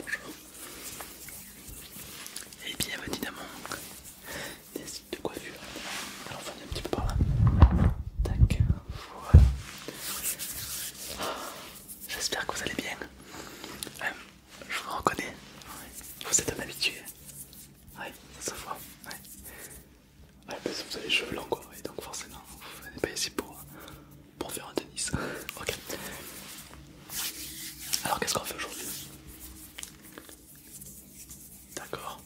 Bonjour et bienvenue dans mon site de coiffure. Alors venez un petit peu par là. Tac, voilà. Ah, j'espère que vous allez bien. Euh, je vous reconnais. Vous êtes un habitué. Oui. ça se voit. parce que vous avez les cheveux longs donc forcément vous n'êtes pas ici pour pour faire un tennis. ok. Alors qu'est-ce qu'on fait aujourd'hui D'accord.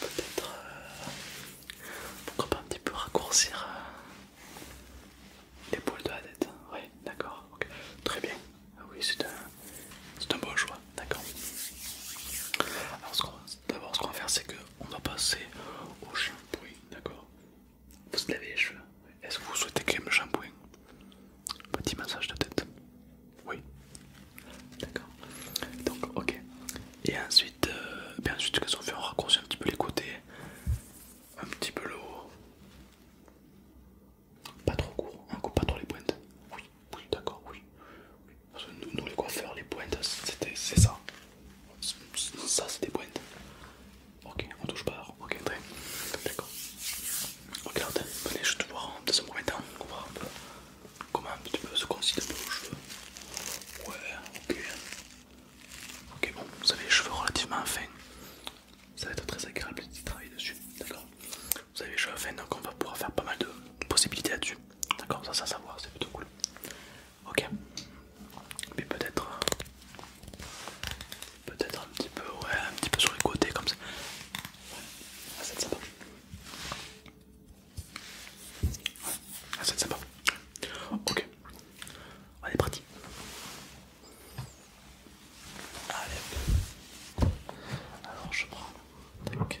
Peut-être... Euh, pourquoi pas un petit peu raccourcir euh, les l'épaule de la tête Oui, d'accord. Ok. Très bien. Ah oui, c'est un, c'est un bon choix. D'accord. Alors d'abord ce qu'on va faire c'est que on va passer au shampoing, d'accord Vous lavez les cheveux Est-ce que vous souhaitez le shampoing Petit massage de tête Oui D'accord Donc, ok. Et ensuite, euh, bien ensuite, qu'est-ce qu'on fait On raccourcit un petit peu les côtés, un petit peu le Pas trop court, on hein, coupe pas trop les pointes. Oui, oui, d'accord, oui nous, les coiffeurs, les pointes, c'est ça. Ça, c'est des pointes. Ok, on touche pas. Ok, très D'accord. Regarde, venez, je te voir dans un premier temps. On un peu. Comment tu peux se concilier un peu vos cheveux Ouais, ok. Ok, bon, vous avez les cheveux relativement fins. Ça va être très agréable de travailler dessus. D'accord Vous avez les cheveux fins, donc on va pouvoir faire pas mal de possibilités là-dessus. D'accord Ça, ça, savoir, c'est plutôt cool. Ok. Mais peut-être... Euh, peut-être un petit peu, ouais, un petit peu sur les côtés comme ça. Ouais. Ah, c'est sympa. Ouais. Ah, c'est sympa. Ok. Allez, parti. Allez. Alors, je prends. ok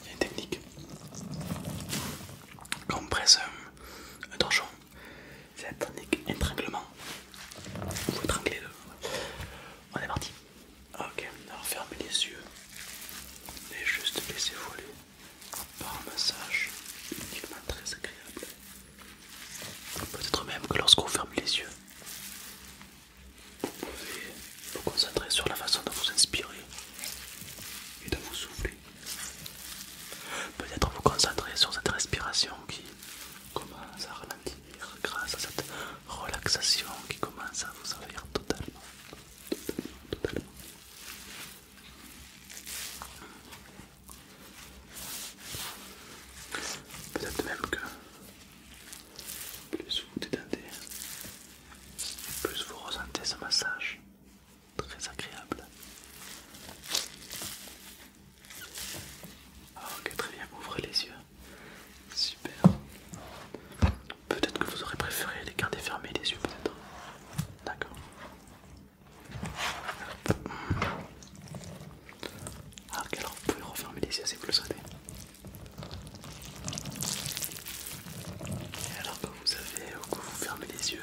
Il y a une technique. Quand on presse un, torchon, c'est la technique étranglement. Vous étranglez le. On est parti. Ok, alors fermez les yeux et juste laissez voler par un massage uniquement très agréable. Peut-être même que lorsque lorsqu'on ferme les yeux, vous pouvez vous concentrer sur la façon de vous inspirer et de vous souffler. Peut-être vous concentrer sur cette respiration qui commence à ralentir grâce à cette relaxation qui commence à vous servir totalement. Peut-être même que plus vous détendez, plus vous ressentez ce massage très agréable. Ah, ok, très bien, ouvrez les yeux. Super. Peut-être que vous aurez préféré les garder fermés les yeux, peut-être. Hein. D'accord. Ah, ok, alors vous pouvez refermer les yeux si vous le souhaitez vous savez, ou euh, que vous fermez les yeux,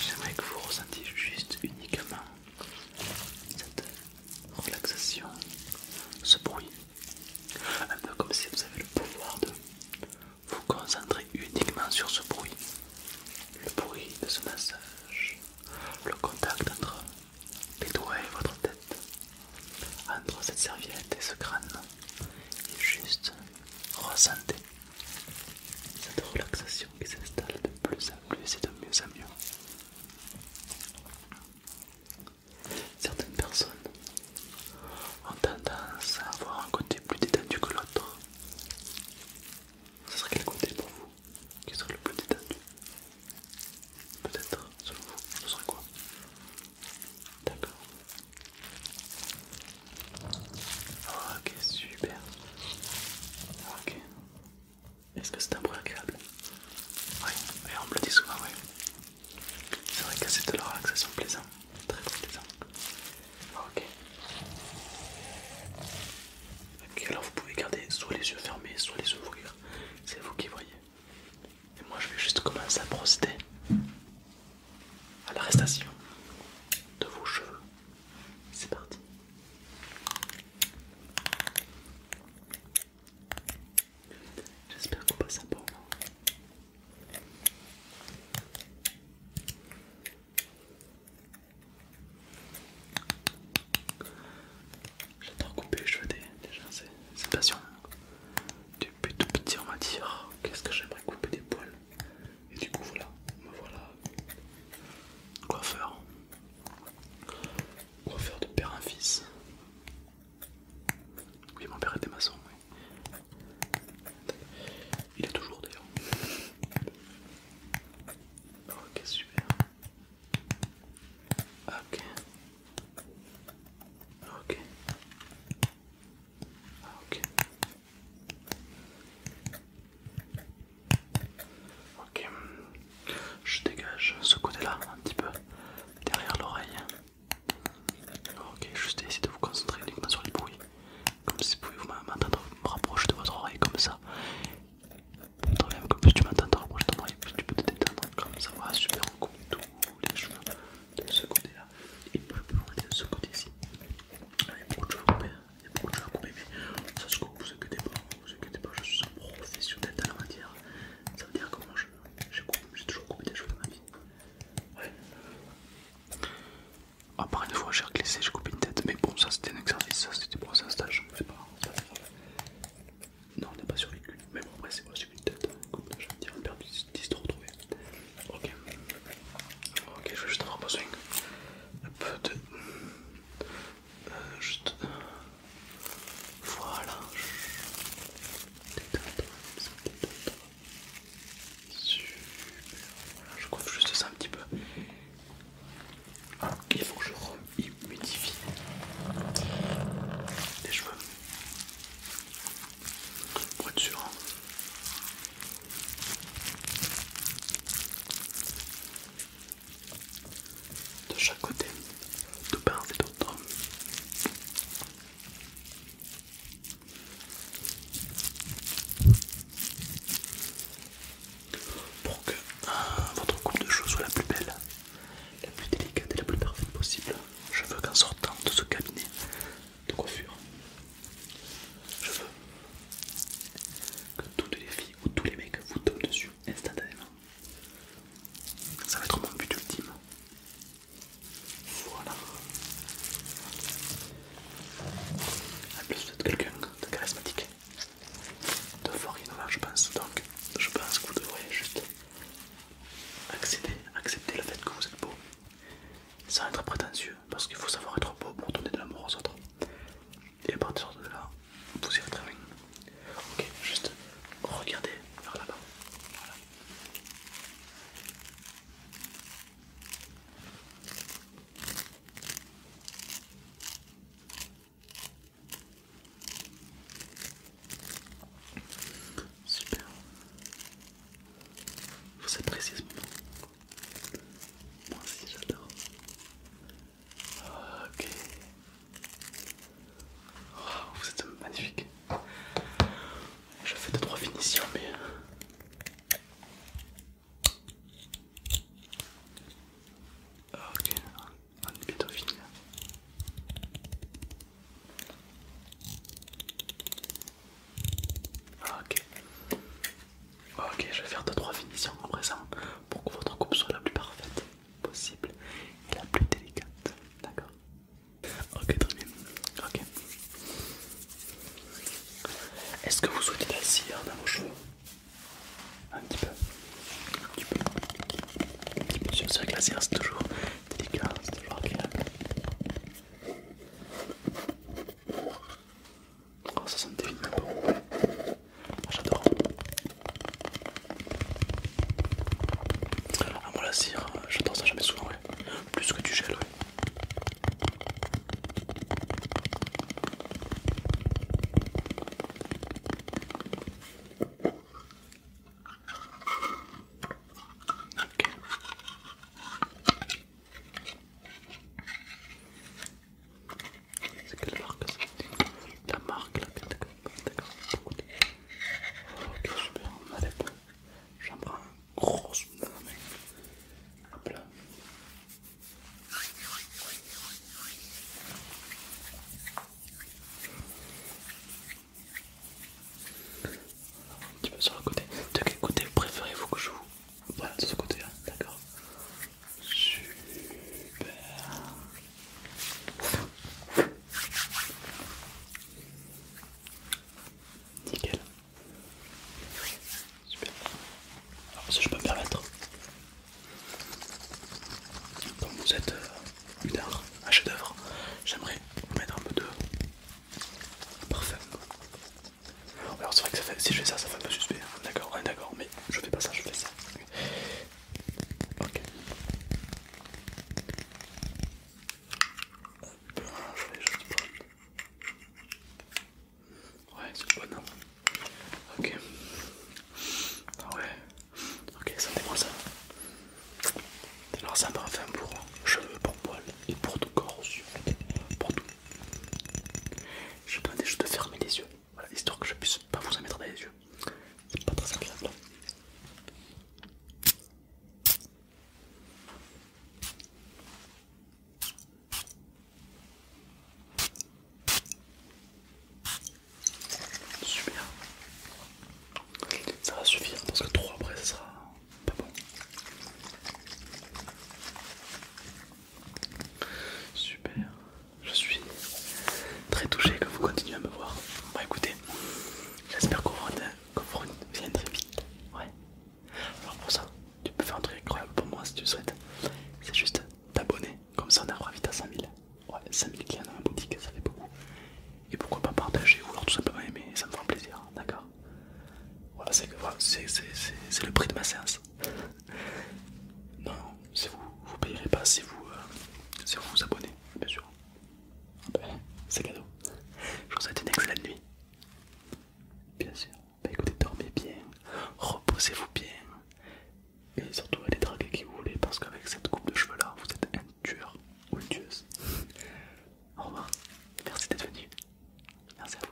j'aimerais que vous ressentiez juste uniquement cette relaxation, ce bruit. Un peu comme si vous avez le pouvoir de vous concentrer uniquement sur ce bruit. Le bruit de ce massage, le contact entre les doigts et votre tête, entre cette serviette et ce crâne, et juste Ressentez cette relaxation qui s'installe de plus en plus et de mieux en mieux. Certaines personnes ont tendance à avoir un côté plus détendu que l'autre. Ce serait quel côté pour vous qui serait le plus détendu Peut-être, selon vous, ce serait quoi D'accord. Ok, super. Ok. Est-ce que c'est un bruit agréable Oui, on me le dit souvent, oui. C'est vrai que c'est de la relaxation plaisante, très très plaisant. Ok. Ok, alors vous pouvez garder soit les yeux fermés, soit les ouvrir. C'est vous qui voyez. Et moi je vais juste commencer à procéder à l'arrestation de vos cheveux. C'est parti. J'espère qu'on passe un bon moment. J'adore couper les cheveux des gens, c'est passionnant depuis tout petit on m'a dit qu'est-ce que j'aimerais couper des poils et du coup voilà me voilà coiffeur coiffeur de père un fils oui mon père était maçon oui il est toujours d'ailleurs ok oh, super ok ok ah, ok. Ok. Je dégage ce côté-là un petit peu derrière l'oreille. Ok, juste essayer de vous concentrer uniquement sur les bruits. Comme si vous pouviez m'entendre me rapprocher de votre oreille comme ça. comme si tu m'entends, rapproche de plus tu peux te détendre comme ça. va, super, les cheveux de ce côté-là et puis je on va dire de ce côté-ci. Il y a beaucoup de choses à couper, hein. il y a beaucoup de à couper, mais ça se coupe, vous inquiétez pas, vous pas, je suis un professionnel dans la matière. Ça veut dire que moi je, coupe, j'ai toujours coupé des cheveux dans ma vie. À part une fois j'ai glissé, j'ai coupé une tête, mais bon ça c'était un exercice, ça c'était pour un stage, ne pas Non on n'a pas survécu, mais bon après c'est pas j'ai mis tête. Écoute, je vais me dire de 10 de retrouver. Ok. Ok, je vais juste avoir besoin un peu de. Euh, juste. Voilà. Super. Voilà, je coiffe juste ça un petit peu. Il faut que je humidifie les cheveux. Pour être sûr. De chaque côté, de part et d'autre. Pour que euh, votre coupe de cheveux soit la plus belle, la plus délicate et la plus parfaite possible je veux qu'en sortant de ce cabinet de coiffure, je veux que toutes les filles ou tous les mecs vous tombent dessus instantanément. Ça va être mon but ultime. Voilà. En plus, vous quelqu'un de charismatique, de fort innovant, je pense. Donc, je pense que vous devriez juste Accéder, accepter le fait que vous êtes beau, sans être prétentieux, parce qu'il faut savoir être beau pour donner de l'amour aux autres. Et à partir de là, vous irez très bien. Ok, juste regardez vers là-bas. Voilà. Super. Vous appréciez ce moment Moi aussi j'adore. Ok. Oh, vous êtes magnifique. Je fais deux trois finitions mais... Euh, ok, on est bientôt fini. Ah, ok. Ah, ok, je vais faire 2-3 finitions à présent pour que votre coupe soit la plus parfaite possible et la plus délicate. D'accord Ok, très bien. Ok. Est-ce que vous souhaitez la cire dans vos cheveux Un petit peu. Un petit peu. Un petit peu. Je cire c'est toujours délicat, c'est toujours agréable. Oh, ça sonne des vinyles bon. Ah, J'adore. Ah, moi la cire, j'adore ça, jamais souvent, Plus que du gel, ouais. C'est quelle marque ça Ta marque là, d'accord, d'accord, beaucoup de... Ok, super, on allez, bon, j'en prends un gros la main. Hop là. Un petit peu sur le côté. De quel côté préférez-vous que je vous. Voilà, de ce côté-là, d'accord. Super. Nickel. Super. Alors, ça je peux me permettre, donc vous êtes. Euh, une un chef d'œuvre. J'aimerais mettre un peu de parfum. Alors c'est vrai que ça fait, si je fais ça, ça fait un peu suspect. Hein. D'accord, d'accord, mais je fais pas ça, je fais ça. Ok. je Ouais, c'est bon. Hein. Ok. Ah ouais. Ok, sentez-moi ça. Alors ça me parfum pour cheveux, pour poils et pour tout corps aussi. Pour tout. Je demander juste de fermer les yeux, histoire que je ne puisse pas vous en mettre dans les yeux. C'est pas très agréable. Hein. Super. Ça va suffire parce que 3 après ça sera pas bon. Super. Je suis très touché que vous continuez à me voir. Bah écoutez, j'espère qu'on vous très vite. Ouais. Alors pour ça, tu peux faire un truc incroyable pour moi si tu souhaites. C'est juste t'abonner, comme ça on arrivera vite à 100 000 ouais, 5000 clients dans ma boutique, ça fait beaucoup. Et pourquoi pas partager ou alors tout simplement aimer, ça me fera plaisir, d'accord Voilà, c'est voilà, le prix de ma séance. non, si vous vous payerez pas si vous, euh, si vous vous abonnez, bien sûr. Ah ben, c'est cadeau. Je vous souhaite une excellente nuit. Bien sûr. Bah écoutez, dormez bien, reposez-vous bien. Et surtout allez draguer qui vous voulez parce qu'avec cette coupe de cheveux là vous êtes un tueur ou une tueuse. Au revoir, merci d'être venu. Merci à vous.